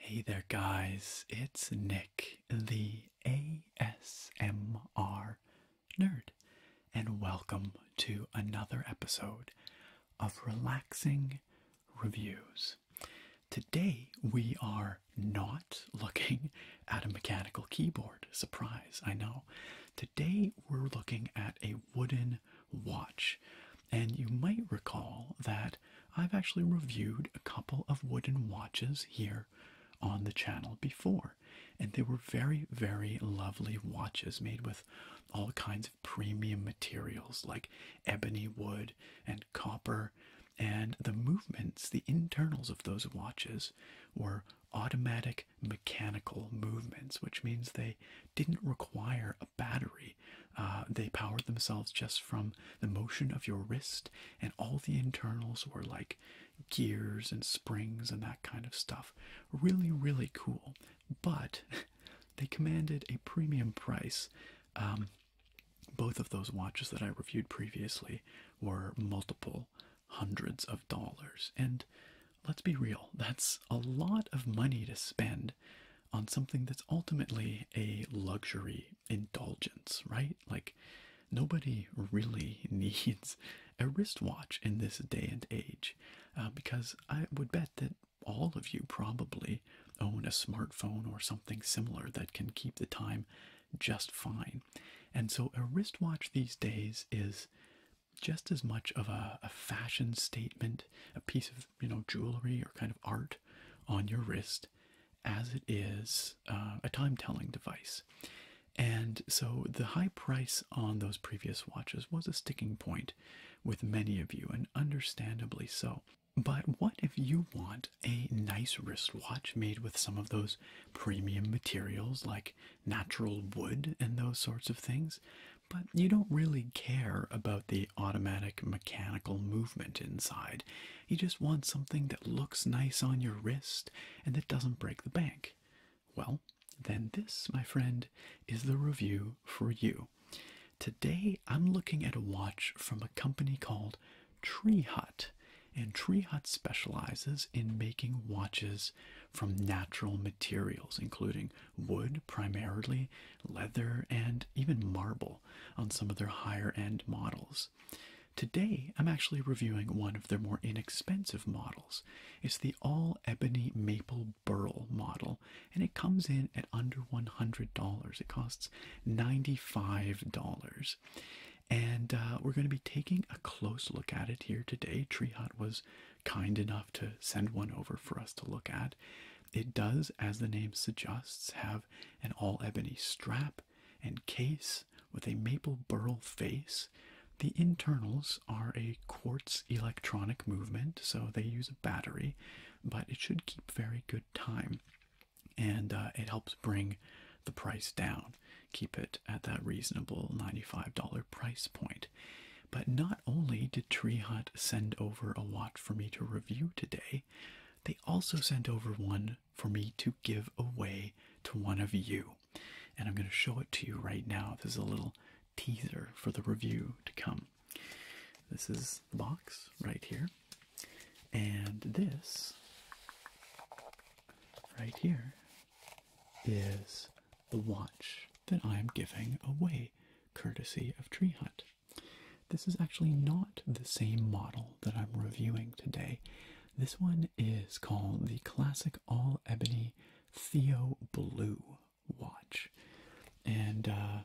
Hey there, guys. It's Nick, the ASMR nerd, and welcome to another episode of Relaxing Reviews. Today we are not looking at a mechanical keyboard. Surprise, I know. Today we're looking at a wooden watch. And you might recall that I've actually reviewed a couple of wooden watches here on the channel before. And they were very, very lovely watches made with all kinds premium materials like ebony wood and copper, and the movements, the internals of those watches, were automatic mechanical movements, which means they didn't require a battery. Uh, they powered themselves just from the motion of your wrist, and all the internals were like gears and springs and that kind of stuff. Really, really cool. But they commanded a premium price um, both of those watches that I reviewed previously were multiple hundreds of dollars, and let's be real, that's a lot of money to spend on something that's ultimately a luxury indulgence, right? Like, nobody really needs a wristwatch in this day and age uh, because I would bet that all of you probably own a smartphone or something similar that can keep the time just fine. And so a wristwatch these days is just as much of a, fashion statement, a piece of you know jewelry or kind of art on your wrist, as it is uh, a time telling device. And so the high price on those previous watches was a sticking point with many of you, and understandably so. But what if you want a nice wristwatch made with some of those premium materials like natural wood and those sorts of things, but you don't really care about the automatic mechanical movement inside? You just want something that looks nice on your wrist and that doesn't break the bank. Well, then this, my friend, is the review for you. Today I'm looking at a watch from a company called Tree Hut, and Tree Hut specializes in making watches from natural materials, including wood primarily, leather, and even marble on some of their higher end models. Today, I'm actually reviewing one of their more inexpensive models. It's the all ebony maple Burl model, and it comes in at under $100. It costs $95. And uh, we're going to be taking a close look at it here today. Tree was kind enough to send one over for us to look at. It does, as the name suggests, have an all ebony strap and case with a maple burl face. The internals are a quartz electronic movement, so they use a battery but it should keep very good time and uh, it helps bring the price down keep it at that reasonable $95 price point but not only did tree hut send over a watch for me to review today they also sent over one for me to give away to one of you and i'm going to show it to you right now this is a little teaser for the review to come this is the box right here. And this right here is the watch that I am giving away, courtesy of Tree Hunt. This is actually not the same model that I'm reviewing today. This one is called the Classic All Ebony Theo Blue watch. And uh,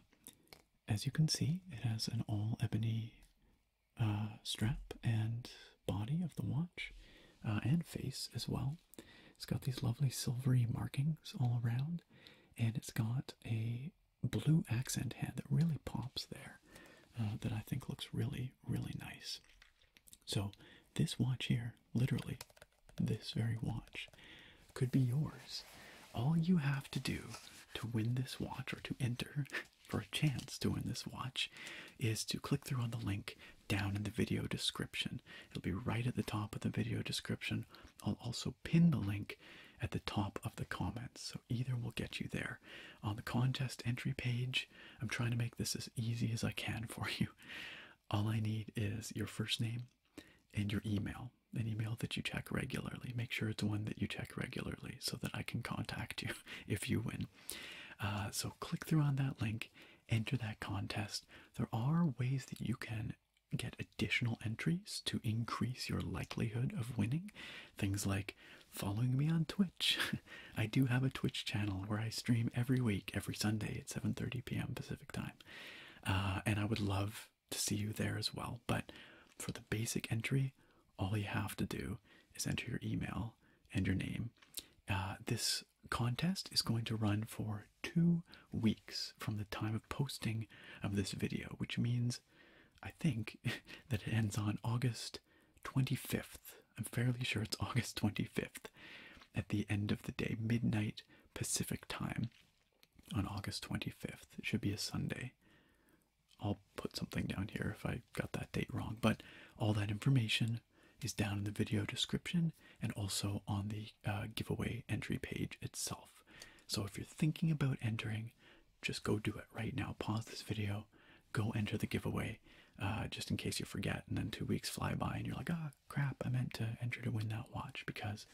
as you can see, it has an all ebony uh, strap and body of the watch uh, and face as well. It's got these lovely silvery markings all around, and it's got a blue accent hand that really pops there that I think looks really, really nice. So, this watch here, literally, this very watch, could be yours. All you have to do to win this watch or to enter for a chance to win this watch is to click through on the link down in the video description. It'll be right at the top of the video description. I'll also pin the link at the top of the comments, so either will get you there. On the contest entry page, I'm trying to make this as easy as I can for you. All I need is your first name and your email, an email that you check regularly. Make sure it's one that you check regularly so that I can contact you if you win. Uh, so click through on that link, enter that contest. There are ways that you can get additional entries to increase your likelihood of winning. Things like following me on Twitch. I do have a Twitch channel where I stream every week, every Sunday at 7:30 p.m. Pacific time, uh, and I would love to see you there as well. But for the basic entry, all you have to do is enter your email and your name. Uh, this contest is going to run for two weeks from the time of posting of this video, which means I think that it ends on August 25th. I'm fairly sure it's August 25th at the end of the day, midnight Pacific time on August 25th. It should be a Sunday. I'll put something down here if I got that date wrong, but all that information is down in the video description and also on the uh, giveaway entry page itself. So if you're thinking about entering, just go do it right now. Pause this video, go enter the giveaway, uh, just in case you forget. And then two weeks fly by and you're like, ah, oh, crap, I meant to enter to win that watch because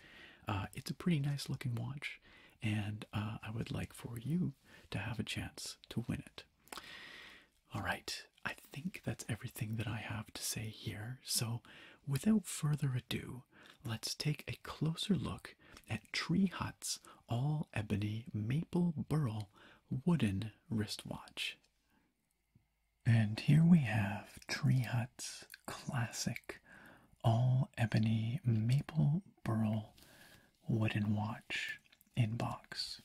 uh, it's a pretty nice looking watch and uh, I would like for you to have a chance to win it. All right, I think that's everything that I have to say here. So, without further ado, let's take a closer look at Tree Hut's all ebony maple burl wooden wristwatch. And here we have Tree Hut's classic all ebony maple burl wooden watch in box.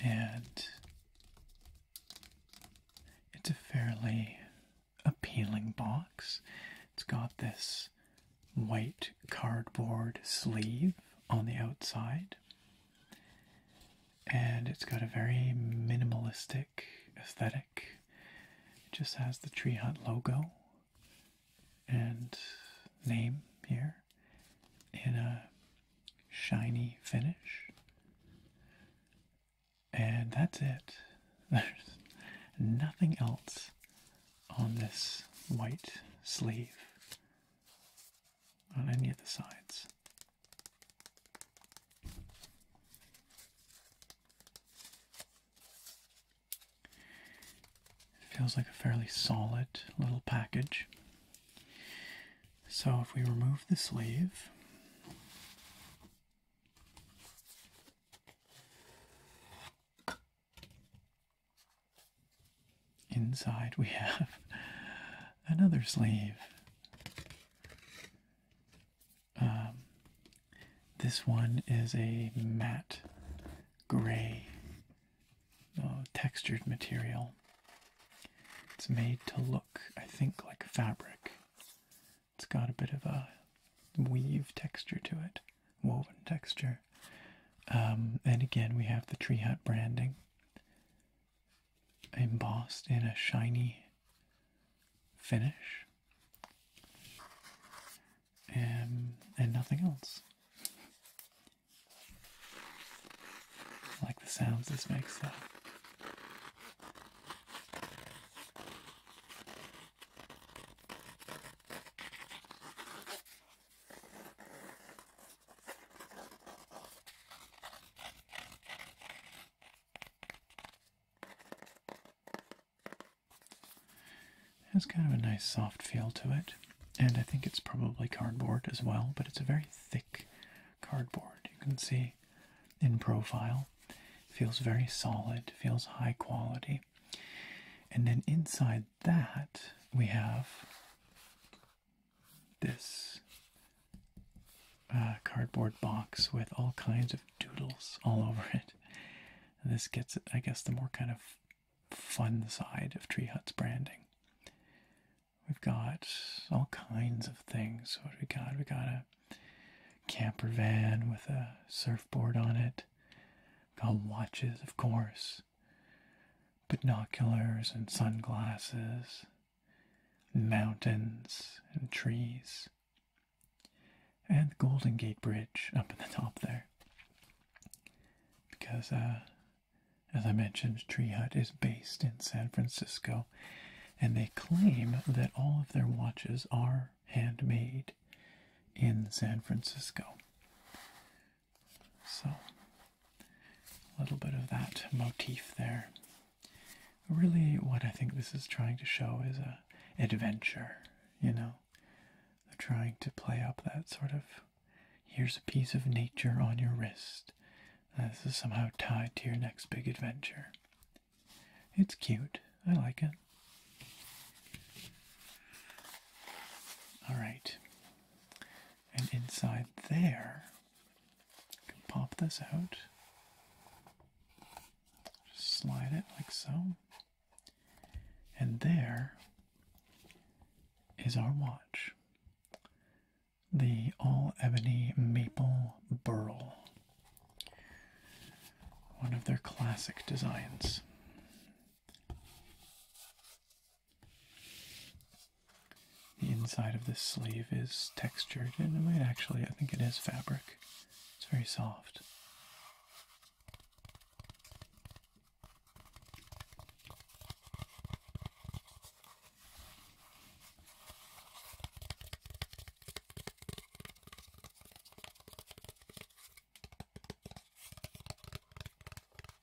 And it's a fairly appealing box. It's got this white cardboard sleeve on the outside. And it's got a very minimalistic aesthetic it just has the Tree Hut logo and name here in a shiny finish. And that's it. There's nothing else on this white sleeve on any of the sides. It feels like a fairly solid little package. So if we remove the sleeve, inside we have another sleeve. Um, this one is a matte gray uh, textured material. It's made to look, I think, like fabric. It's got a bit of a weave texture to it, woven texture. Um, and again, we have the tree hut branding embossed in a shiny finish and, and nothing else. like the sounds this makes has kind of a nice soft feel to it, and I think it's probably cardboard as well, but it's a very thick cardboard. You can see in profile, feels very solid, feels high quality. And then inside that, we have this uh, cardboard box with all kinds of doodles all over it. this gets, I guess, the more kind of fun side of Tree Hut's branding. We've got all kinds of things. What do we got? We got a camper van with a surfboard on it. Got watches, of course. Binoculars and sunglasses. Mountains and trees and the Golden Gate Bridge up in the top there. Because, uh, as I mentioned, Tree Hut is based in San Francisco, and they claim that all of their watches are handmade in San Francisco. So, a little bit of that motif there really what I think this is trying to show is a adventure, you know. trying to play up that sort of here's a piece of nature on your wrist. this is somehow tied to your next big adventure. It's cute. I like it. All right. And inside there, I can pop this out. Just slide it like so. And there is our watch. The all ebony maple burl. One of their classic designs. The inside of this sleeve is textured and it might actually, I think it is fabric. It's very soft.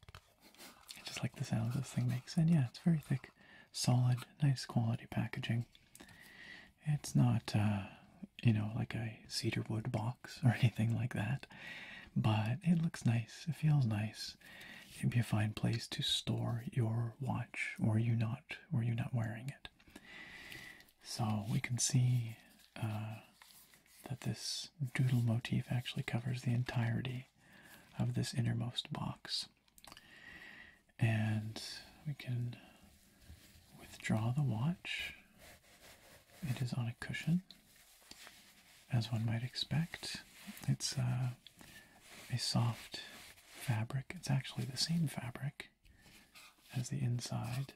I just like the sound this thing makes, and yeah, it's very thick solid, nice quality packaging. It's not, uh, you know, like a cedar wood box or anything like that, but it looks nice. It feels nice. It'd be a fine place to store your watch, or you not, or you not wearing it. So we can see uh, that this doodle motif actually covers the entirety of this innermost box. And we can withdraw the watch. It is on a cushion, as one might expect. It's uh, a soft fabric. It's actually the same fabric as the inside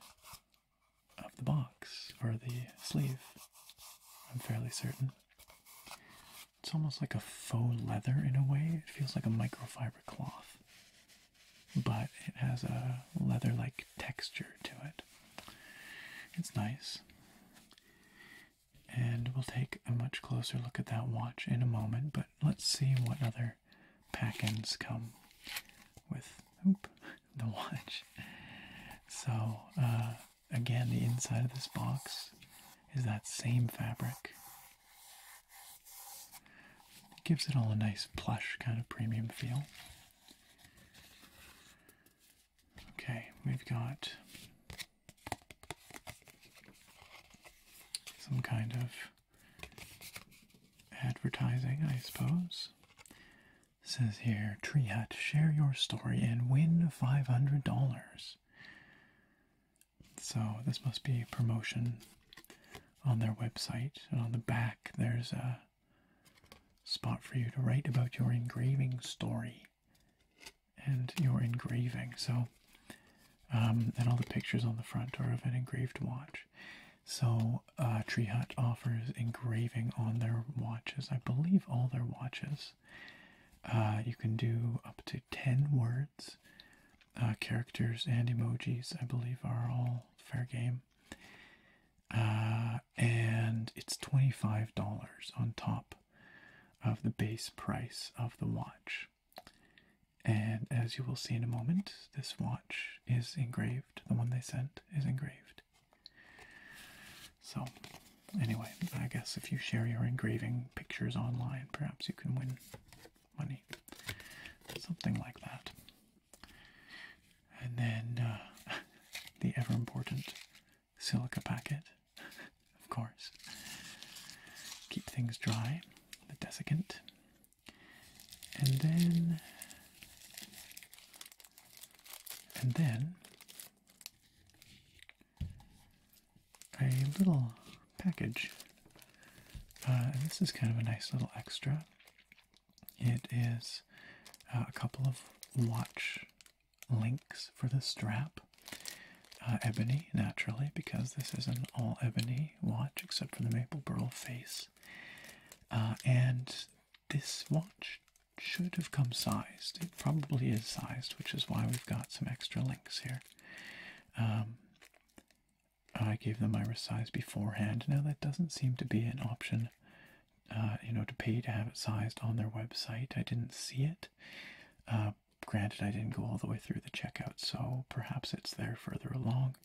of the box or the sleeve, I'm fairly certain. It's almost like a faux leather in a way. It feels like a microfiber cloth but it has a leather like texture to it. It's nice. And we'll take a much closer look at that watch in a moment, but let's see what other pack ins come with the watch. So, uh, again, the inside of this box is that same fabric it gives it all a nice plush kind of premium feel. Okay, we've got some kind of advertising, I suppose. says here, Tree Hut, share your story and win $500. So this must be a promotion on their website. And on the back, there's a spot for you to write about your engraving story and your engraving. So, um, and all the pictures on the front are of an engraved watch. So, uh, Tree Hut offers engraving on their watches. I believe all their watches. Uh, you can do up to 10 words. Uh, characters and emojis, I believe, are all fair game. Uh, and it's $25 on top of the base price of the watch. And as you will see in a moment, this watch is engraved. The one they sent is engraved. So, anyway, I guess if you share your engraving pictures online, perhaps you can win money, something like that. And then uh, the ever important silica packet, of course. Keep things dry, the desiccant. And then, and then, a little package. Uh, this is kind of a nice little extra. It is uh, a couple of watch links for the strap. Uh, ebony, naturally, because this is an all ebony watch except for the maple burl face. and this watch should have come sized. It probably is sized, which is why we've got some extra links here. Um, I gave them my size beforehand. Now that doesn't seem to be an option, uh, you know, to pay to have it sized on their website. I didn't see it. Uh, granted, I didn't go all the way through the checkout, so perhaps it's there further along.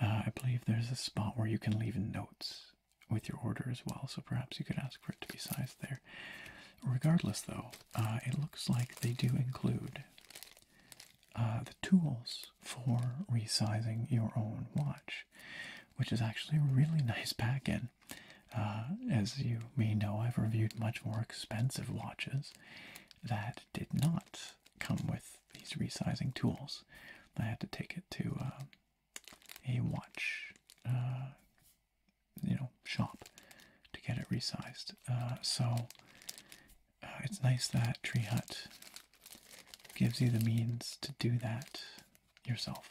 Uh, I believe there's a spot where you can leave notes with your order as well, so perhaps you could ask for it to be sized there. Regardless, though, it looks like they do include uh, the tools for resizing your own watch, which is actually a really nice backend. Uh, as you may know, I've reviewed much more expensive watches that did not come with these resizing tools. I had to take it to um, a watch, uh, you know, shop to get it resized. Uh, so Ah, it's nice that Tree Hut gives you the means to do that yourself.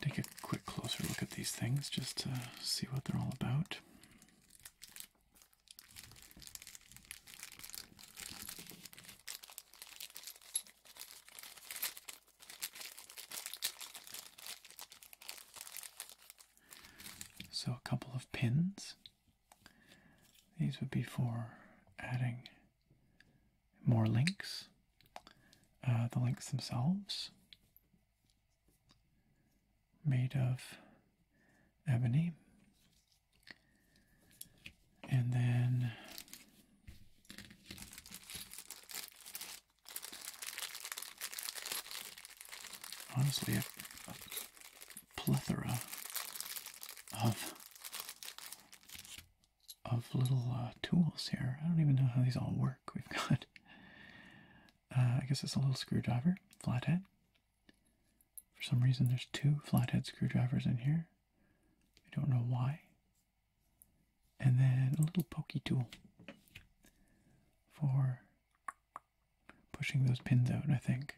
take a quick closer look at these things just to see what they're all about. So a couple of pins. These would be for adding more links, uh, the links themselves, made of ebony. And then honestly a, plethora of of little uh, tools here. I don't even know how these all work. We've got, uh, I guess it's a little screwdriver, flathead. For some reason, there's two flathead screwdrivers in here. I don't know why. And then a little pokey tool for pushing those pins out, I think.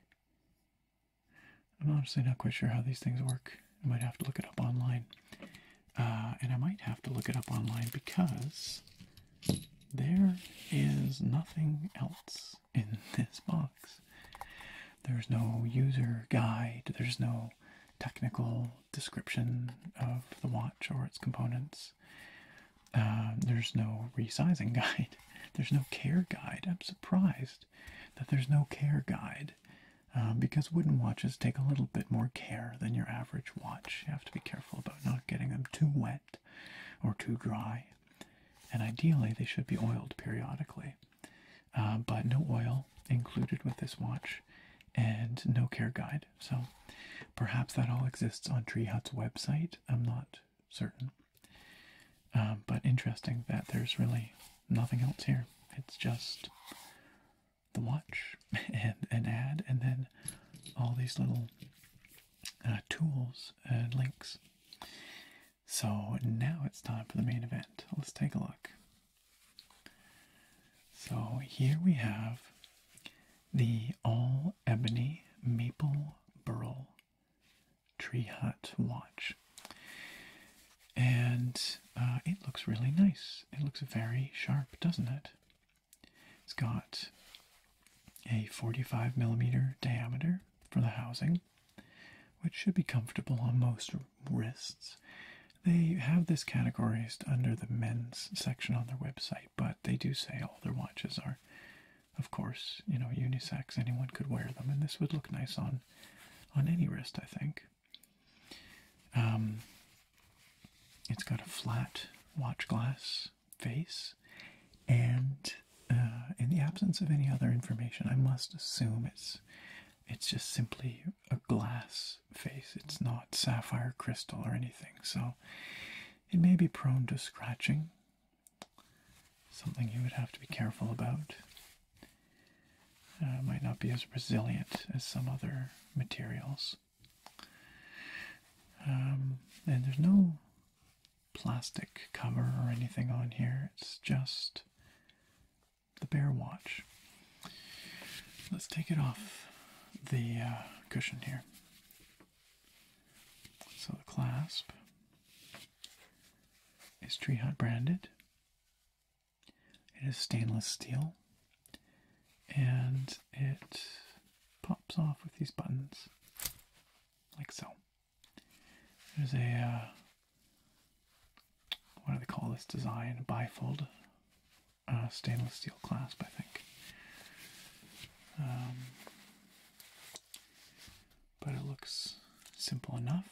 I'm honestly not quite sure how these things work. I might have to look it up online. Uh, and I might have to look it up online because there is nothing else in this box. There's no user guide, there's no technical description of the watch or its components. Uh, there's no resizing guide. There's no care guide. I'm surprised that there's no care guide uh, because wooden watches take a little bit more care than your average watch. You have to be careful about not getting them too wet or too dry. And ideally, they should be oiled periodically. Uh, but no oil included with this watch and no care guide. So perhaps that all exists on Tree Hut's website. I'm not certain. Um, but interesting that there's really nothing else here. It's just the watch and an ad, and then all these little uh, tools and links. So now it's time for the main event. Let's take a look. So here we have the all Ebony Maple Burl Tree Hut watch. And uh, it looks really nice. It looks very sharp, doesn't it? It's got a 45 millimeter diameter for the housing, which should be comfortable on most wrists. They have this categorized under the men's section on their website, but they do say all their watches are of course, you know, unisex, anyone could wear them, and this would look nice on on any wrist, I think. Um, it's got a flat watch glass face, and uh, in the absence of any other information, I must assume it's it's just simply a glass face. It's not sapphire crystal or anything, so it may be prone to scratching something you would have to be careful about. Uh, might not be as resilient as some other materials. Um, and there's no plastic cover or anything on here, it's just the bare watch. Let's take it off the uh, cushion here. So the clasp is Tree Hut branded. It is stainless steel and it pops off with these buttons like so. There's a, uh, what do they call this design? bifold uh, stainless steel clasp, I think. Um, but it looks simple enough.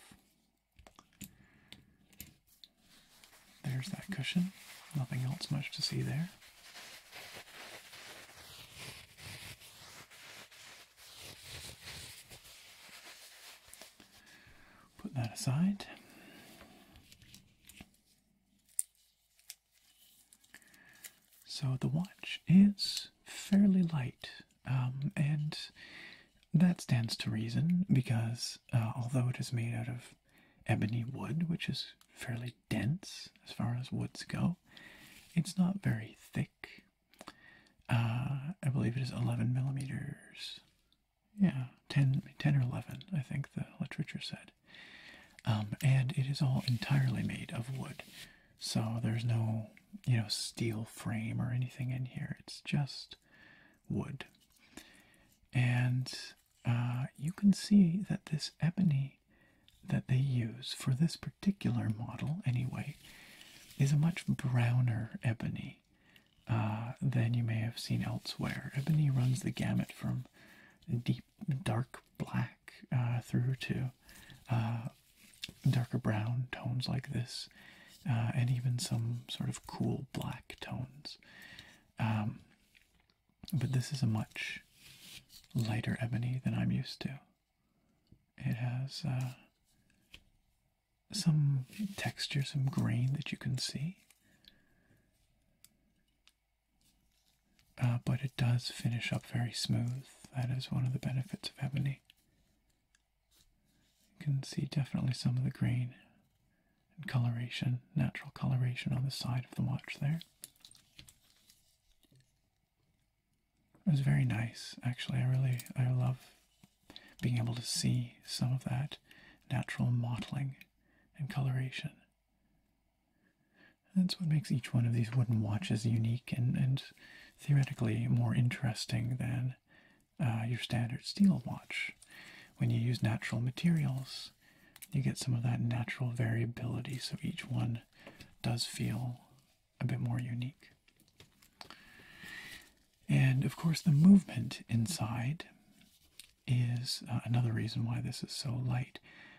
There's that cushion, nothing else much to see there. Put that aside. So the watch is fairly light, um, and that stands to reason because uh, although it is made out of ebony wood, which is fairly dense as far as woods go, it's not very thick. Uh, I believe it is 11 millimeters. Yeah, 10, 10 or 11, I think the literature said. Um, and it is all entirely made of wood. So there's no, you know, steel frame or anything in here. It's just wood. And uh, you can see that this ebony that they use for this particular model, anyway, is a much browner ebony uh, than you may have seen elsewhere. Ebony runs the gamut from deep dark black uh, through to uh, darker brown tones like this, uh, and even some sort of cool black tones. Um, but this is a much lighter ebony than I'm used to. It has some texture, some grain that you can see. Uh, but it does finish up very smooth. That is one of the benefits of ebony. You can see definitely some of the grain and coloration, natural coloration on the side of the watch there. It was very nice, actually. I really, I love being able to see some of that natural mottling and coloration. That's what makes each one of these wooden watches unique and, and theoretically more interesting than uh, your standard steel watch. When you use natural materials, you get some of that natural variability, so each one does feel a bit more unique. And of course, the movement inside is uh, another reason why this is so light.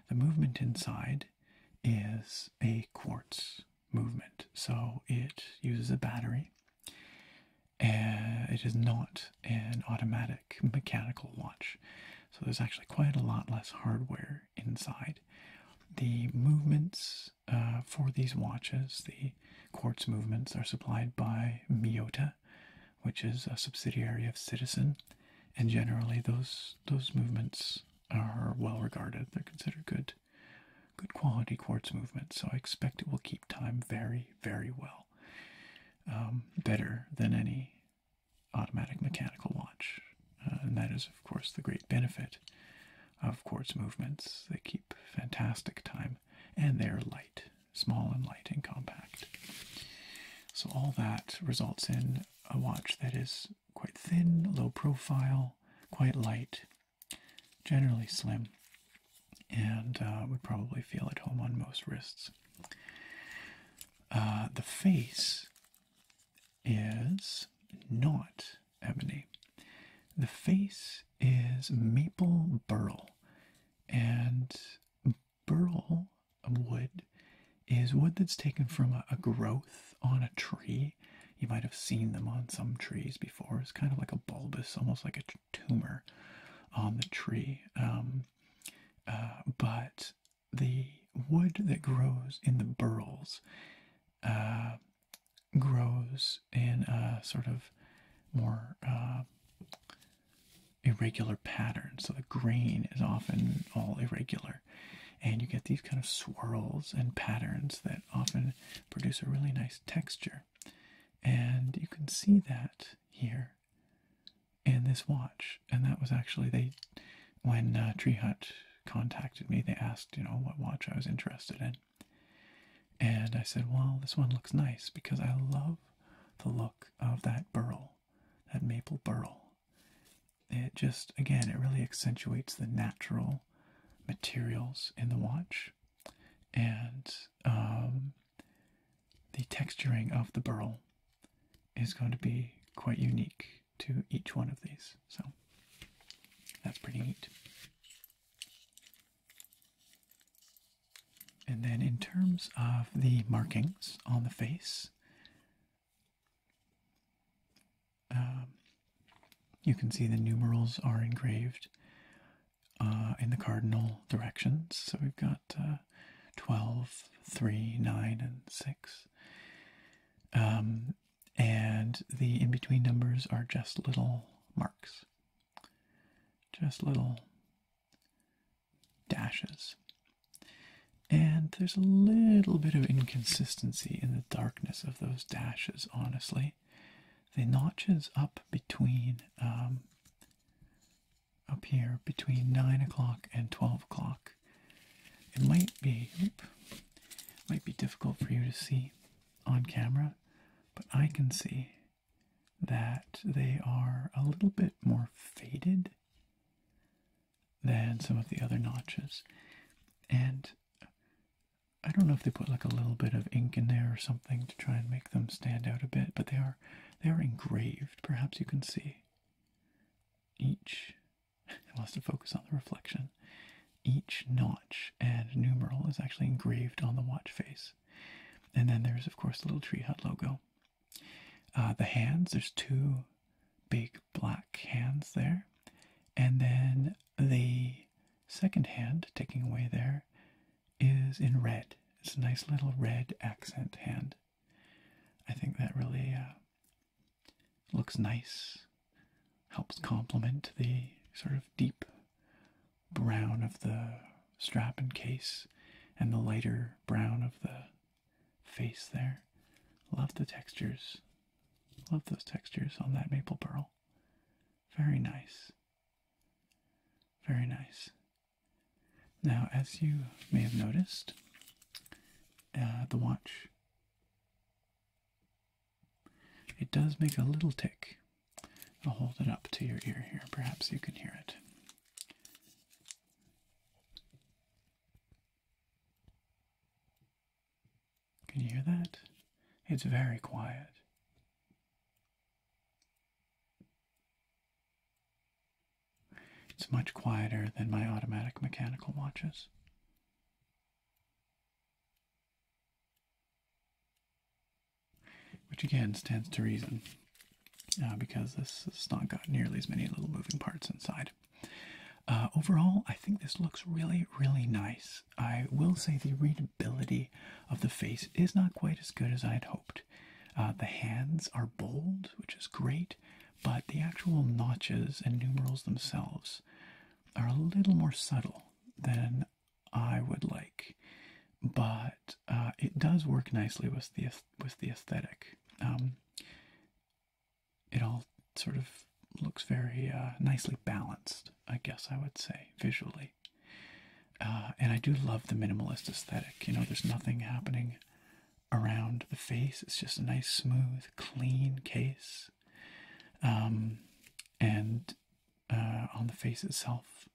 The movement inside is a quartz movement. So it uses a battery. Uh, it is not an automatic mechanical watch. So there's actually quite a lot less hardware inside. The movements uh, for these watches, the quartz movements, are supplied by Miyota, which is a subsidiary of Citizen, and generally those those movements are well regarded. They're considered good, good quality quartz movements. So I expect it will keep time very, very well. Um, better than any automatic mechanical watch. Uh, and that is, of course, the great benefit of quartz movements. They keep fantastic time and they're light, small and light and compact. So, all that results in a watch that is quite thin, low profile, quite light, generally slim, and uh, would probably feel at home on most wrists. Uh, the face is not ebony. The face is maple burl, and burl of wood is wood that's taken from a, growth on a tree. You might have seen them on some trees before. It's kind of like a bulbous, almost like a tumor on the tree. Um, uh, but the wood that grows in the burls uh, grows in a sort of more uh, irregular pattern. So the grain is often all irregular. And you get these kind of swirls and patterns that often produce a really nice texture. And you can see that here in this watch. And that was actually, they, when uh, Tree Hut contacted me, they asked, you know, what watch I was interested in. And I said, well, this one looks nice because I love the look of that burl, that maple burl it just, again, it really accentuates the natural materials in the watch and um, the texturing of the burl is going to be quite unique to each one of these. So that's pretty neat. And then in terms of the markings on the face, um, you can see the numerals are engraved uh, in the cardinal directions. So we've got uh, 12, 3, 9, and 6. Um, and the in between numbers are just little marks, just little dashes. And there's a little bit of inconsistency in the darkness of those dashes, honestly. The notches up between, um, up here, between 9 o'clock and 12 o'clock. It might be, might be difficult for you to see on camera, but I can see that they are a little bit more faded than some of the other notches. And I don't know if they put like a little bit of ink in there or something to try and make them stand out a bit, but they are they are engraved. Perhaps you can see each. It wants to focus on the reflection. Each notch and numeral is actually engraved on the watch face, and then there's of course the little tree hut logo uh, the hands, there's two big black hands there. And then the second hand, taking away there, is in red. It's a nice little red accent hand. I think that really uh, looks nice, helps complement the sort of deep brown of the strap and case and the lighter brown of the face there. Love the textures. Love those textures on that maple pearl. Very nice. Very nice. Now, as you may have noticed, uh, the watch it does make a little tick. I'll hold it up to your ear here. Perhaps you can hear it. Can you hear that? It's very quiet. It's much quieter than my automatic mechanical watches. Which again stands to reason, uh, because this has not got nearly as many little moving parts inside. Uh, overall, I think this looks really, really nice. I will say the readability of the face is not quite as good as I had hoped. Uh, the hands are bold, which is great, but the actual notches and numerals themselves are a little more subtle than I would like. But uh, it does work nicely with the with the aesthetic. Um, it all sort of looks very uh, nicely balanced, I guess I would say, visually. Uh, and I do love the minimalist aesthetic. You know, there's nothing happening around the face, it's just a nice, smooth, clean case. Um, and uh, on the face itself,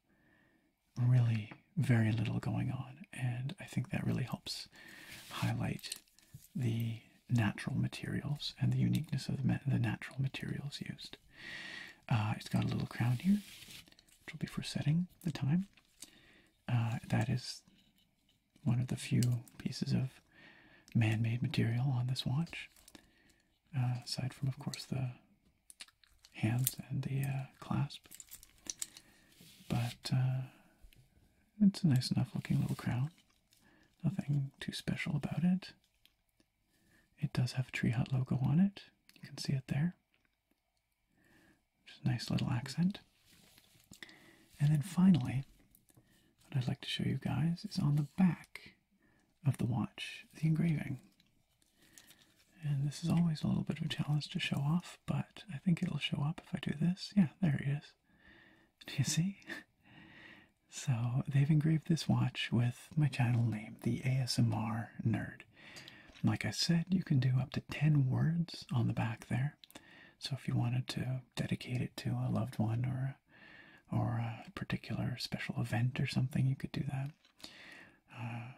really very little going on. And I think that really helps highlight the natural materials and the uniqueness of the, natural materials used. Uh, it's got a little crown here, which will be for setting the time. Uh, that is one of the few pieces of man-made material on this watch, uh, aside from, of course, the hands and the clasp. But it's a nice enough looking little crown. Nothing too special about it. It does have a Tree Hut logo on it. You can see it there. Just nice little accent. And then finally, what I'd like to show you guys is on the back of the watch, the engraving. And this is always a little bit of a challenge to show off, but I think it'll show up if I do this. Yeah, there it is. Do you see? So they've engraved this watch with my channel name, the ASMR Nerd. Like I said, you can do up to 10 words on the back there. So if you wanted to dedicate it to a loved one or a, or a particular special event or something, you could do that. Uh,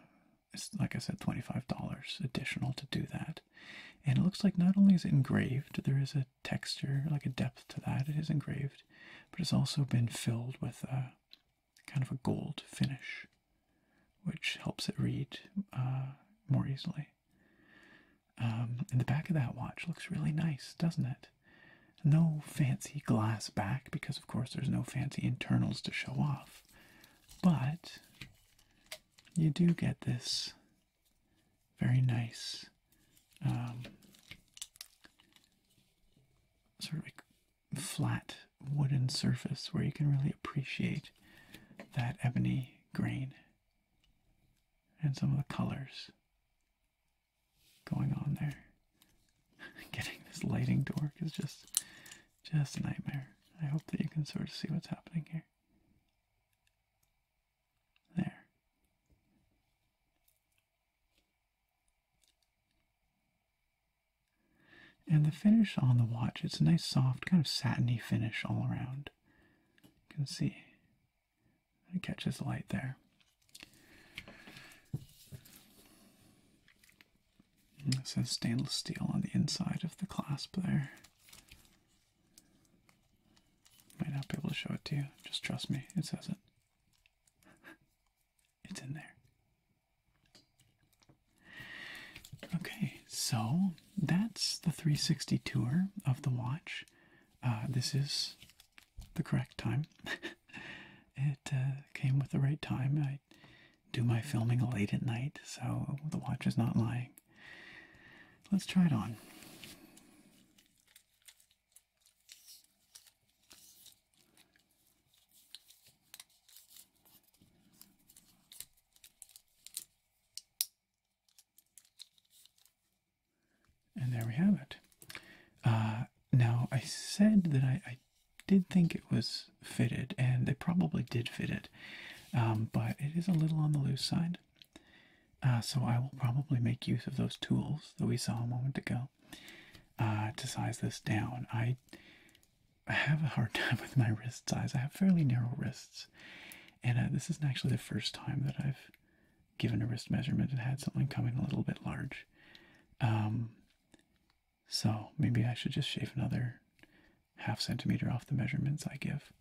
it's like I said, $25 additional to do that. And it looks like not only is it engraved, there is a texture, like a depth to that, it is engraved, but it's also been filled with kind of a gold finish, which helps it read uh, more easily. Um, and the back of that watch looks really nice, doesn't it? No fancy glass back, because of course there's no fancy internals to show off, but you do get this very nice um, sort of flat wooden surface where you can really appreciate that ebony grain and some of the colors going on there. Getting this lighting to work is just just nightmare. I hope that you can sort of see what's happening here. There. And the finish on the watch, it's a nice soft, kind of satiny finish all around. You can see it catches light there. And it says stainless steel on the inside of the clasp there. Might not be able to show it to you. Just trust me, it says it. it's in there. Okay, so that's the 360 tour of the watch. Uh, this is the correct time. it uh, came with the right time. I do my filming late at night, so the watch is not lying. Let's try it on. And there we have it. Uh, now, I said that I, did think it was fitted, and they probably did fit it, um, but it is a little on the loose side. Uh, so I will probably make use of those tools that we saw a moment ago uh, to size this down. I have a hard time with my wrist size. I have fairly narrow wrists, and uh, this isn't actually the first time that I've given a wrist measurement and had something come in a little bit large. Um, so maybe I should just shave another half centimeter off the measurements I give.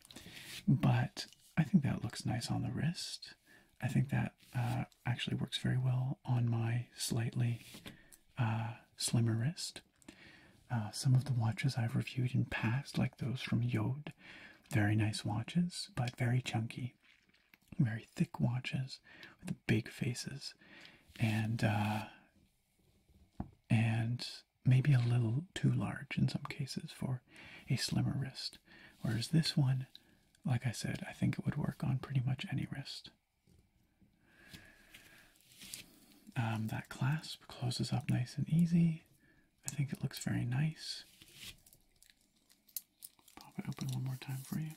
But I think that looks nice on the wrist. I think that uh, actually works very well on my slightly uh, slimmer wrist. Uh, some of the watches I've reviewed in past, like those from Yode, very nice watches, but very chunky, very thick watches with big faces, and and maybe a little too large in some cases for a slimmer wrist. Whereas this one, like I said, I think it would work on pretty much any wrist. Um, that clasp closes up nice and easy. I think it looks very nice. Pop it open one more time for you.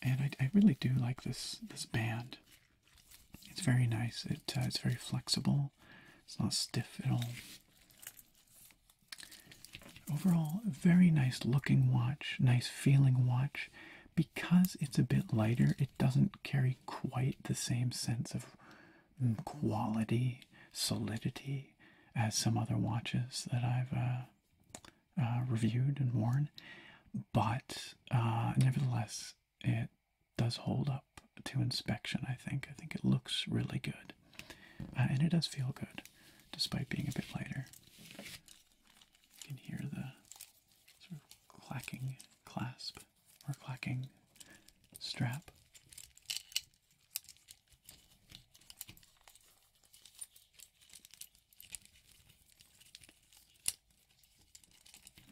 And I, I really do like this this band. It's very nice. It uh, it's very flexible. It's not stiff at all. Overall, very nice looking watch, nice feeling watch. Because it's a bit lighter, it doesn't carry quite the same sense of mm, quality, solidity as some other watches that I've uh, uh, reviewed and worn. But nevertheless, it does hold up to inspection, I think. I think it looks really good. Uh, and it does feel good, despite being a bit lighter. You can hear the clacking clasp or clacking strap.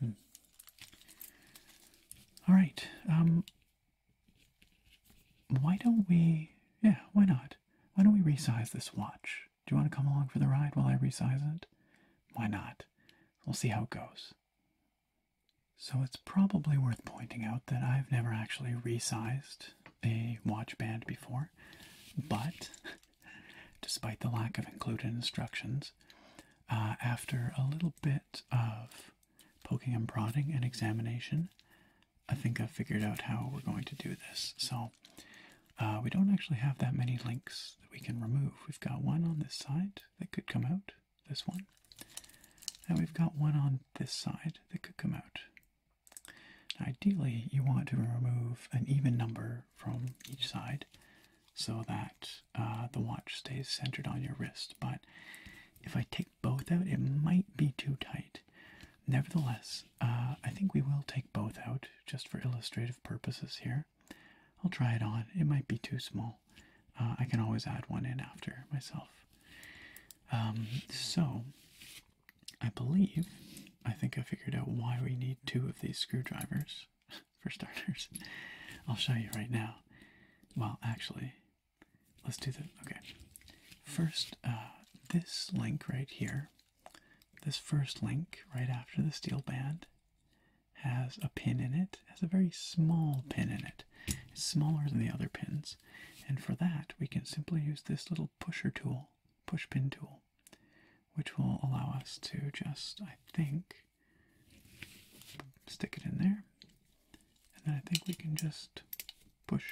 Hmm. All right. Um, why don't we? Yeah, why not? Why don't we resize this watch? Do you want to come along for the ride while I resize it? Why not? We'll see how it goes. So it's probably worth pointing out that I've never actually resized a watch band before, but despite the lack of included instructions, uh, after a little bit of poking and prodding and examination, I think I've figured out how we're going to do this. So uh, we don't actually have that many links that we can remove. We've got one on this side that could come out, this one. And we've got one on this side that could come out. Ideally, you want to remove an even number from each side so that uh, the watch stays centered on your wrist, but if I take both out, it might be too tight. Nevertheless, uh, I think we will take both out just for illustrative purposes here. I'll try it on. It might be too small. Uh, I can always add one in after myself. Um, so, I believe, I think I figured out why we need two of these screwdrivers. for starters. I'll show you right now. Well, actually, let's do the. Okay. First, uh, this link right here, this first link right after the steel band, has a pin in it, has a very small pin in it. It's smaller than the other pins. And for that, we can simply use this little pusher tool, push pin tool, which will allow us to just, I think, stick it in there, and then I think we can just push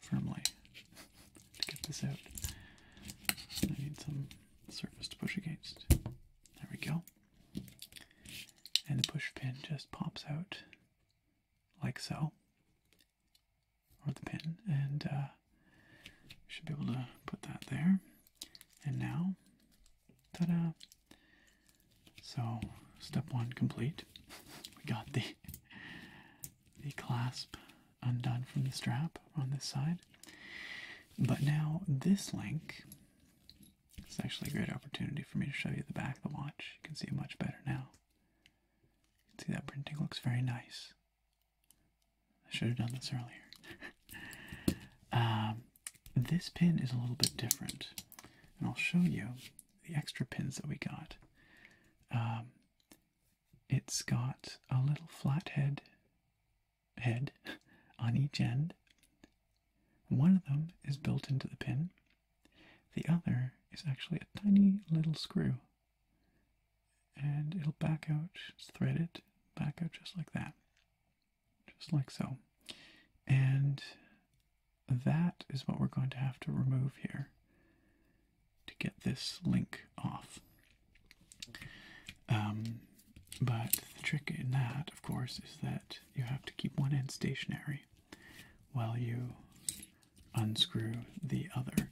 firmly to get this out. I need some surface to push against. There we go. And the push pin just pops out like so, or the pin, and uh, should be able to put that there. And now Ta-da! So step one complete. We got the the clasp undone from the strap on this side. But now this link it's actually a great opportunity for me to show you the back of the watch. You can see it much better now. You can see that printing looks very nice. I should have done this earlier. Um, this pin is a little bit different, and I'll show you the extra pins that we got. Um, it's got a little flathead head on each end. One of them is built into the pin. The other is actually a tiny little screw. And it'll back out, it's threaded, back out just like that just like so. And that is what we're going to have to remove here to get this link off. Um, but the trick in that, of course, is that you have to keep one end stationary while you unscrew the other.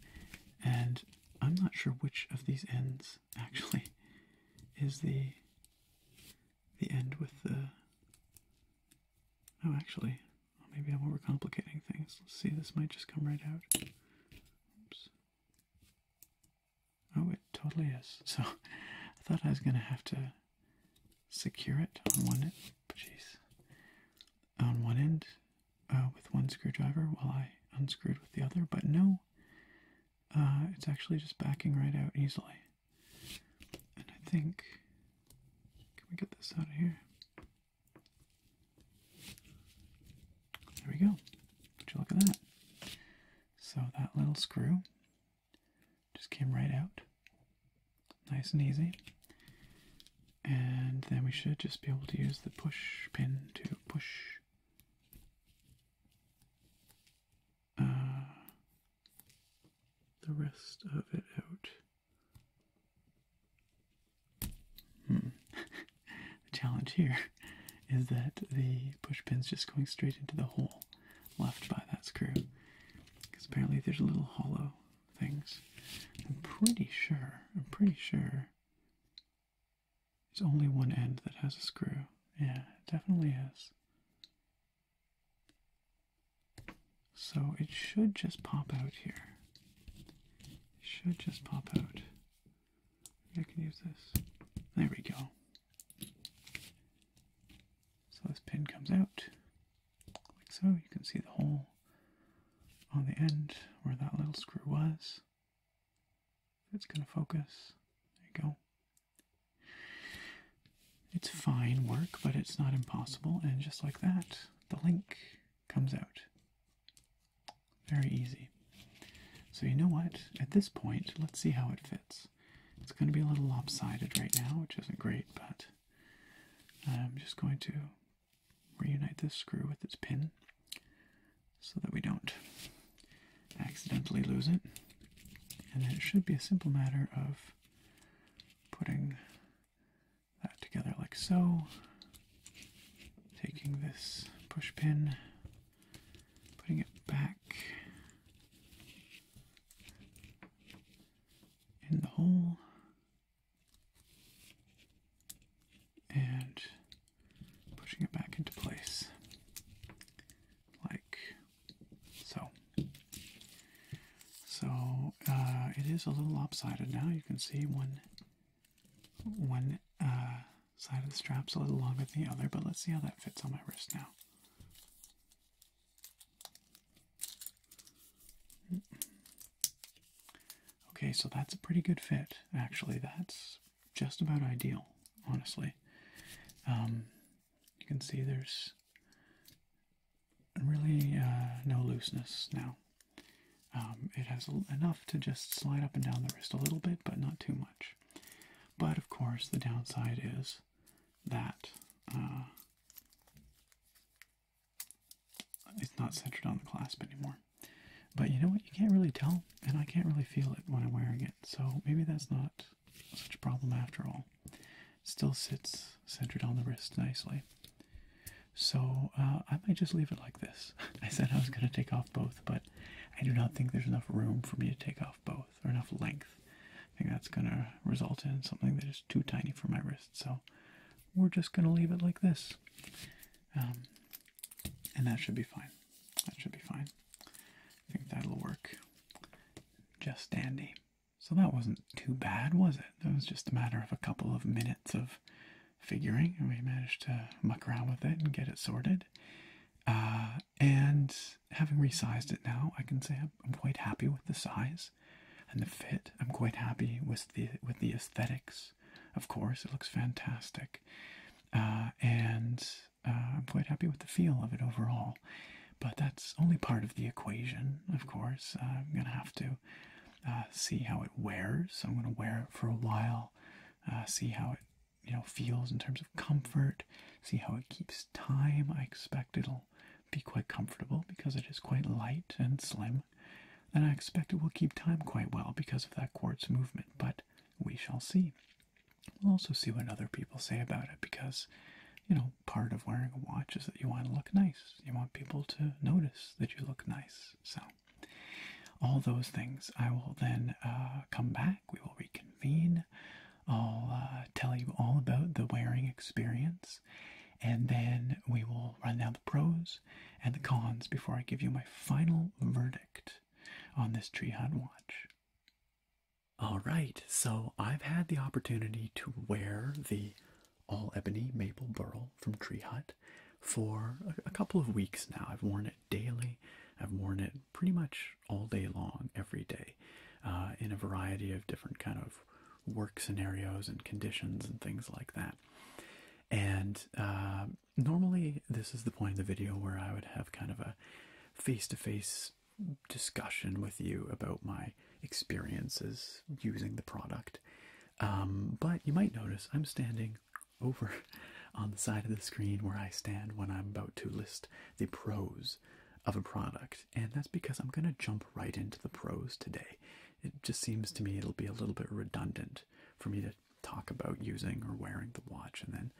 And I'm not sure which of these ends actually is the the end with the oh actually maybe I'm overcomplicating things. Let's see, this might just come right out. Oops. Oh, it totally is. So I thought I was gonna have to secure it on one end. Jeez, on one end uh, with one screwdriver while I unscrewed with the other, but no, uh, it's actually just backing right out easily. And I think, can we get this out of here? There we go. Would you look at that? So that little screw just came right out. Nice and easy. And then we should just be able to use the push pin to push uh, the rest of it out. Hmm. the challenge here is that the push pin's just going straight into the hole left by that screw. Because apparently there's little hollow things. I'm pretty sure, I'm pretty sure there's only one end that has a screw. Yeah, it definitely is. So it should just pop out here. should just pop out. I can use this. There we go. So this pin comes out, like so. You can see the hole on the end where that little screw was. It's going to focus. There you go. It's fine work, but it's not impossible. And just like that, the link comes out. Very easy. So you know what? At this point, let's see how it fits. It's going to be a little lopsided right now, which isn't great, but I'm just going to reunite this screw with its pin so that we don't accidentally lose it. And it should be a simple matter of putting that together like so, taking this push pin, putting it back in the hole, and pushing it back into place like so. So uh, it is a little lopsided now. You can see one one uh, side of the strap's a little longer than the other, but let's see how that fits on my wrist now. Mm. Okay, so that's a pretty good fit. Actually, that's just about ideal, honestly. Um, you can see there's really uh, no looseness now. Um, it has enough to just slide up and down the wrist a little bit, but not too much. But of course, the downside is that uh, it's not centered on the clasp anymore. But you know what? You can't really tell, and I can't really feel it when I'm wearing it so maybe that's not such a problem after all. Still sits centered on the wrist nicely. So uh, I might just leave it like this. I said I was going to take off both, but I do not think there's enough room for me to take off both or enough length. I think that's going to result in something that is too tiny for my wrist. So we're just going to leave it like this. Um, and that should be fine. That should be fine. I think that'll work just dandy. So that wasn't too bad, was it? That was just a matter of a couple of minutes of figuring, and we managed to muck around with it and get it sorted. Uh, and having resized it now, I can say I'm, quite happy with the size and the fit. I'm quite happy with the with the aesthetics. Of course, it looks fantastic. Uh, and uh, I'm quite happy with the feel of it overall. But that's only part of the equation, of course. Uh, I'm going to have to uh, see how it wears. I'm going to wear it for a while, see how it you know feels in terms of comfort, see how it keeps time. I expect it'll be quite comfortable because it is quite light and slim. And I expect it will keep time quite well because of that quartz movement, but we shall see. We'll also see what other people say about it because, you know, part of wearing a watch is that you want to look nice. You want people to notice that you look nice. So, all those things. I will then uh, come back. We will reconvene. I'll uh, tell you all about the wearing experience. And then we will run down the pros and the cons before I give you my final verdict on this tree watch. All right, so I've had the opportunity to wear the all ebony maple burl from Tree Hut for a, couple of weeks now. I've worn it daily, I've worn it pretty much all day long, every day, uh, in a variety of different kind of work scenarios and conditions and things like that. And uh, normally, this is the point in the video where I would have kind of a face to face discussion with you about my experiences using the product. Um, but you might notice I'm standing over on the side of the screen where I stand when I'm about to list the pros of a product, and that's because I'm going to jump right into the pros today. It just seems to me it'll be a little bit redundant for me to talk about using or wearing the watch and then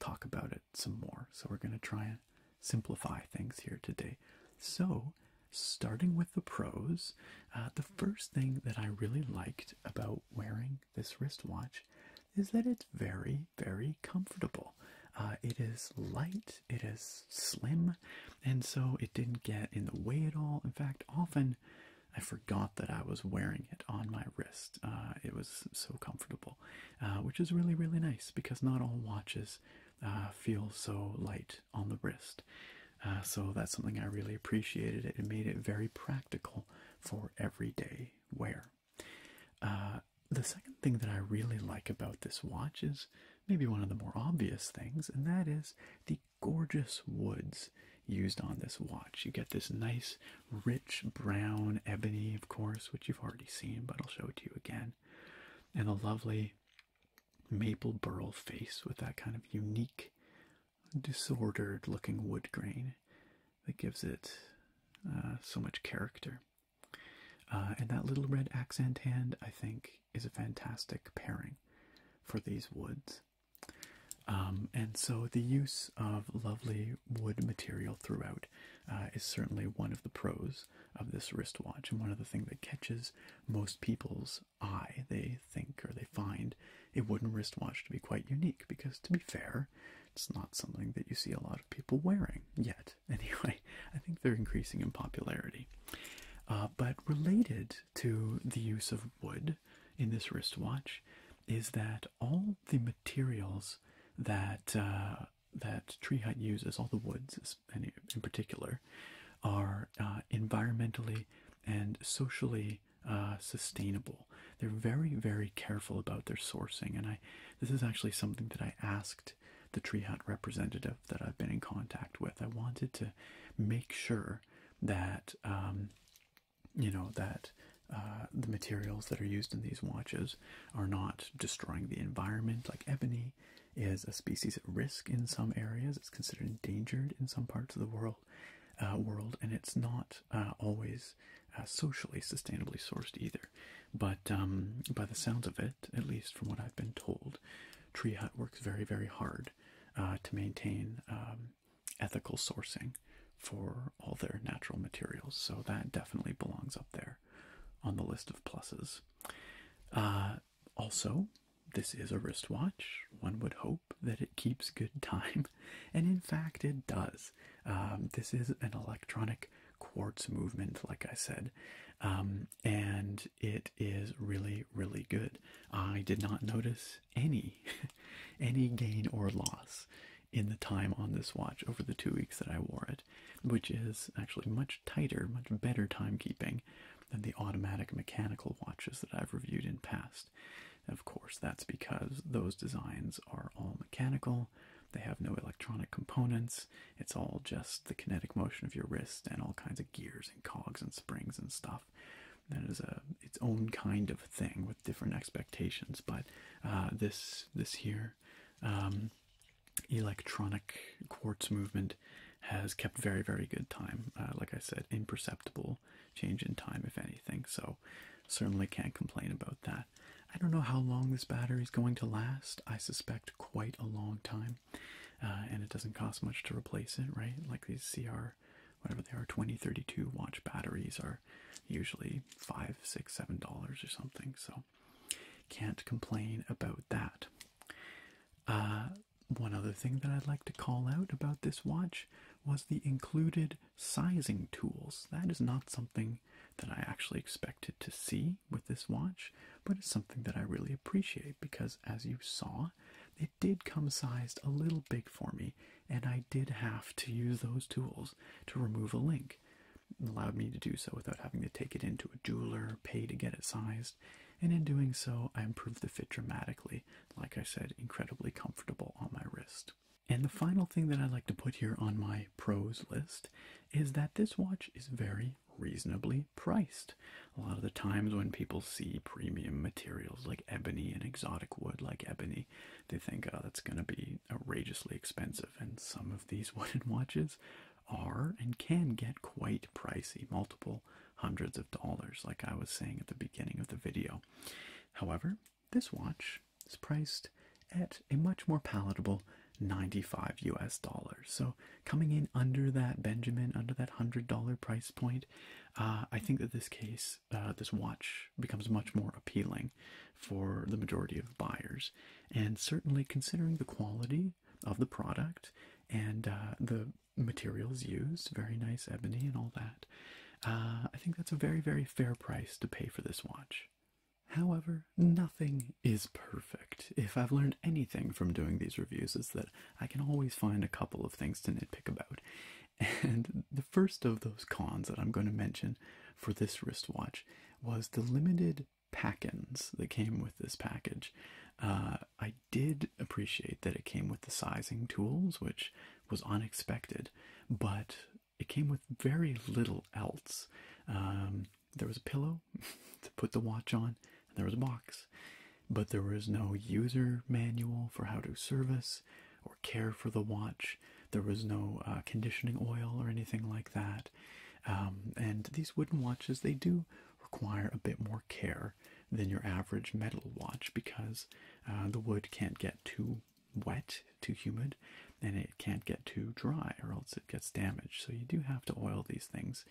talk about it some more. So we're going to try and simplify things here today. So, starting with the pros, uh, the first thing that I really liked about wearing this wristwatch is that it's very, very comfortable. Uh, it is light, it is slim, and so it didn't get in the way at all. In fact, often I forgot that I was wearing it on my wrist. Uh, it was so comfortable. Uh, which is really, really nice because not all watches uh, feel so light on the wrist. Uh, so that's something I really appreciated. It made it very practical for everyday wear. the second thing that I really like about this watch is maybe one of the more obvious things, and that is the gorgeous woods used on this watch. You get this nice rich brown ebony, of course, which you've already seen, but I'll show it to you again. And a lovely maple burl face with that kind of unique, disordered looking wood grain that gives it uh, so much character. Uh, and that little red accent hand, I think, is a fantastic pairing for these woods. Um, and so the use of lovely wood material throughout uh, is certainly one of the pros of this wristwatch and one of the things that catches most people's eye. They think or they find a wooden wristwatch to be quite unique because, to be fair, it's not something that you see a lot of people wearing yet. Anyway, I think they're increasing in popularity. Uh, but related to the use of wood in this wristwatch is that all the materials that uh, that Tree Hut uses, all the woods in, particular, are uh, environmentally and socially uh, sustainable. They're very, very careful about their sourcing, and I this is actually something that I asked the Tree Hut representative that I've been in contact with. I wanted to make sure that um, you know that uh, the materials that are used in these watches are not destroying the environment. Like ebony is a species at risk in some areas; it's considered endangered in some parts of the world. Uh, world, and it's not uh, always socially sustainably sourced either. But um, by the sounds of it, at least from what I've been told, Tree Hut works very, very hard to maintain um, ethical sourcing for all their natural materials, so that definitely belongs up there on the list of pluses. Uh, also, this is a wristwatch. One would hope that it keeps good time, and in fact, it does. Um, this is an electronic quartz movement, like I said, um, and it is really, really good. I did not notice any, any gain or loss in the time on this watch over the two weeks that I wore it, which is actually much tighter, much better timekeeping than the automatic mechanical watches that I've reviewed in past. Of course, that's because those designs are all mechanical, they have no electronic components, it's all just the kinetic motion of your wrist and all kinds of gears and cogs and springs and stuff. That is a its own kind of thing with different expectations, but uh, this this here um, electronic quartz movement has kept very, very good time. Uh, like I said, imperceptible change in time, if anything. So, certainly can't complain about that. I don't know how long this battery is going to last. I suspect quite a long time. Uh, and it doesn't cost much to replace it, right? Like these CR, whatever they are, 2032 watch batteries are usually five, six, seven dollars or something, so can't complain about that. Uh, one other thing that I'd like to call out about this watch was the included sizing tools. That is not something that I actually expected to see with this watch, but it's something that I really appreciate because, as you saw, it did come sized a little big for me, and I did have to use those tools to remove a link allowed me to do so without having to take it into a jeweler, pay to get it sized, and in doing so, I improved the fit dramatically. Like I said, incredibly comfortable on my wrist. And the final thing that I'd like to put here on my pros list is that this watch is very reasonably priced. A lot of the times when people see premium materials like ebony and exotic wood like ebony they think, oh, that's going to be outrageously expensive. And some of these wooden watches are and can get quite pricey, multiple hundreds of dollars, like I was saying at the beginning of the video. However, this watch is priced at a much more palatable 95 US dollars. So coming in under that Benjamin, under that $100 price point, uh, I think that this case, uh, this watch becomes much more appealing for the majority of buyers and certainly considering the quality of the product and uh, the materials used very nice ebony and all that uh, i think that's a very very fair price to pay for this watch however nothing is perfect if i've learned anything from doing these reviews is that i can always find a couple of things to nitpick about and the first of those cons that i'm going to mention for this wristwatch was the limited pack-ins that came with this package. Uh, I did appreciate that it came with the sizing tools, which was unexpected, but it came with very little else. Um, there was a pillow to put the watch on, and there was a box, but there was no user manual for how to service or care for the watch. There was no uh, conditioning oil or anything like that. Um, and these wooden watches, they do require a bit more care than your average metal watch because uh, the wood can't get too wet, too humid, and it can't get too dry or else it gets damaged. So you do have to oil these things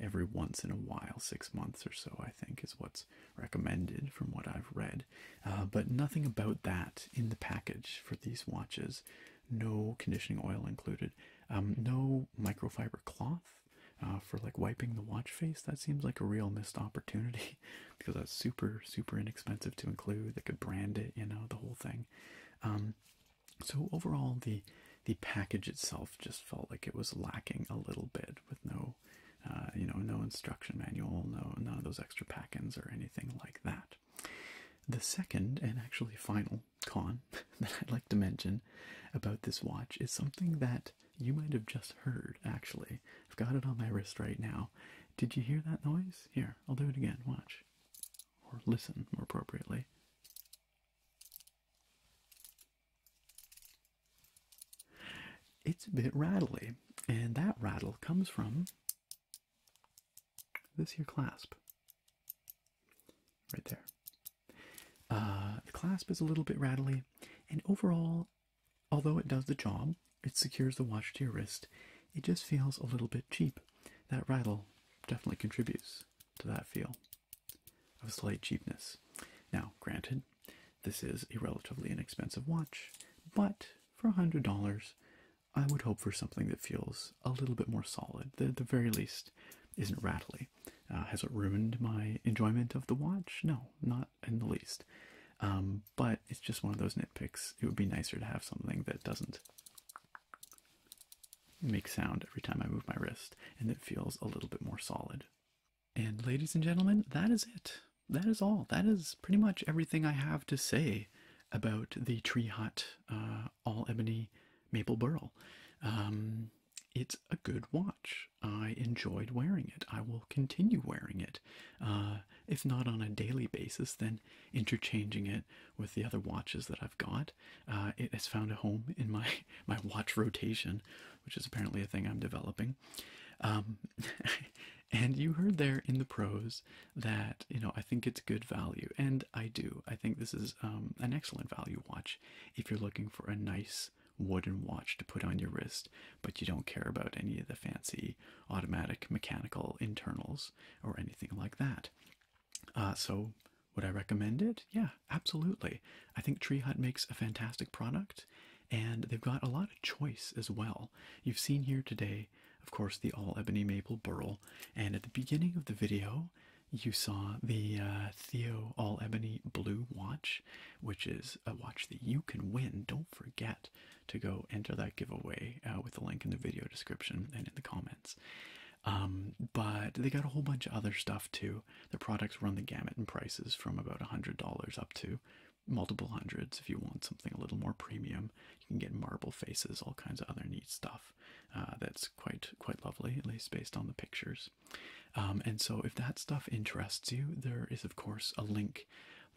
every once in a while, six months or so, I think, is what's recommended from what I've read. Uh, but nothing about that in the package for these watches. No conditioning oil included. Um, no microfiber cloth uh, for like wiping the watch face. That seems like a real missed opportunity because that's super super inexpensive to include. They could brand it, you know, the whole thing. Um, so overall, the the package itself just felt like it was lacking a little bit with no, uh, you know, no instruction manual, no none of those extra pack-ins or anything like that. The second and actually final con that I'd like to mention about this watch is something that you might have just heard actually. I've got it on my wrist right now. Did you hear that noise? Here, I'll do it again. Watch. Or listen more appropriately. It's a bit rattly, and that rattle comes from this here clasp right there. Uh, the clasp is a little bit rattly, and overall, although it does the job, it secures the watch to your wrist, it just feels a little bit cheap. That rattle definitely contributes to that feel of slight cheapness. Now, granted, this is a relatively inexpensive watch, but for $100, I would hope for something that feels a little bit more solid, that at the very least isn't rattly. Uh, has it ruined my enjoyment of the watch? No, not in the least. Um, but it's just one of those nitpicks. It would be nicer to have something that doesn't make sound every time I move my wrist and that feels a little bit more solid. And ladies and gentlemen, that is it. That is all. That is pretty much everything I have to say about the tree hut uh, all ebony maple burl. Um, it's a good watch. I enjoyed wearing it. I will continue wearing it. Uh, if not on a daily basis, then interchanging it with the other watches that I've got. Uh, it has found a home in my my watch rotation, which is apparently a thing I'm developing. Um, And you heard there in the pros that, you know, I think it's good value. And I do. I think this is um, an excellent value watch if you're looking for a nice wooden watch to put on your wrist, but you don't care about any of the fancy automatic mechanical internals or anything like that. Uh, so, would I recommend it? Yeah, absolutely. I think Tree Hut makes a fantastic product. And they've got a lot of choice as well. You've seen here today of course, the all ebony maple burl. And at the beginning of the video, you saw the uh, Theo all ebony blue watch, which is a watch that you can win. Don't forget to go enter that giveaway uh, with the link in the video description and in the comments. Um, but they got a whole bunch of other stuff too. Their products run the gamut in prices from about a $100 up to multiple hundreds if you want something a little more premium. You can get marble faces, all kinds of other neat stuff. Uh, that's quite quite lovely, at least based on the pictures. Um, and so, if that stuff interests you, there is of course a link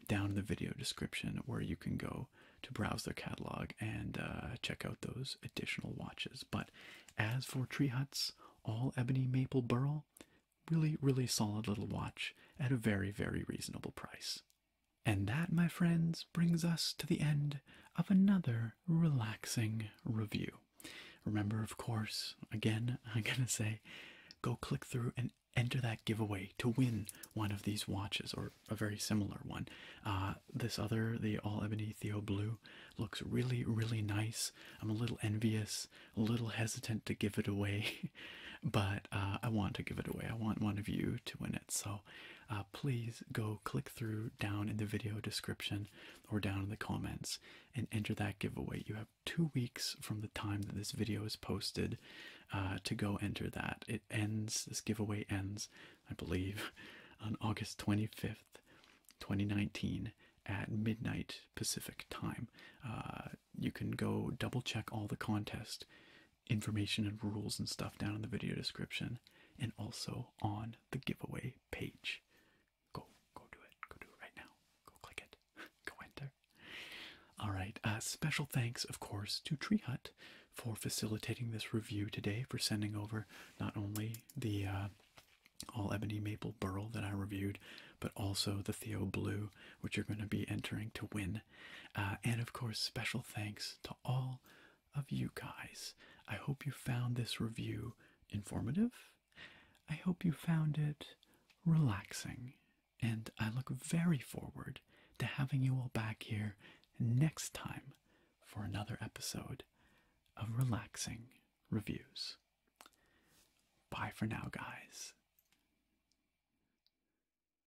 down in the video description where you can go to browse their catalog and uh, check out those additional watches. But as for Tree Huts, all ebony maple burl, really really solid little watch at a very very reasonable price. And that, my friends, brings us to the end of another relaxing review. Remember, of course, again, I'm going to say go click through and enter that giveaway to win one of these watches or a very similar one. Uh, this other, the All Ebony Theo Blue, looks really, really nice. I'm a little envious, a little hesitant to give it away, but uh, I want to give it away. I want one of you to win it. So uh, please go click through down in the video description or down in the comments and enter that giveaway. You have two weeks from the time that this video is posted uh, to go enter that. It ends, this giveaway ends, I believe, on August 25th, 2019 at midnight Pacific time. Uh, you can go double check all the contest information and rules and stuff down in the video description and also on the giveaway page. Go, go do it. Go do it right now. Go click it. go enter. All right. Uh, special thanks, of course, to Tree Hut for facilitating this review today, for sending over not only the uh, all ebony maple burl that I reviewed, but also the Theo Blue, which you're going to be entering to win uh, and of course, special thanks to all of you guys. I hope you found this review informative. I hope you found it relaxing. And I look very forward to having you all back here next time for another episode of Relaxing Reviews. Bye for now, guys.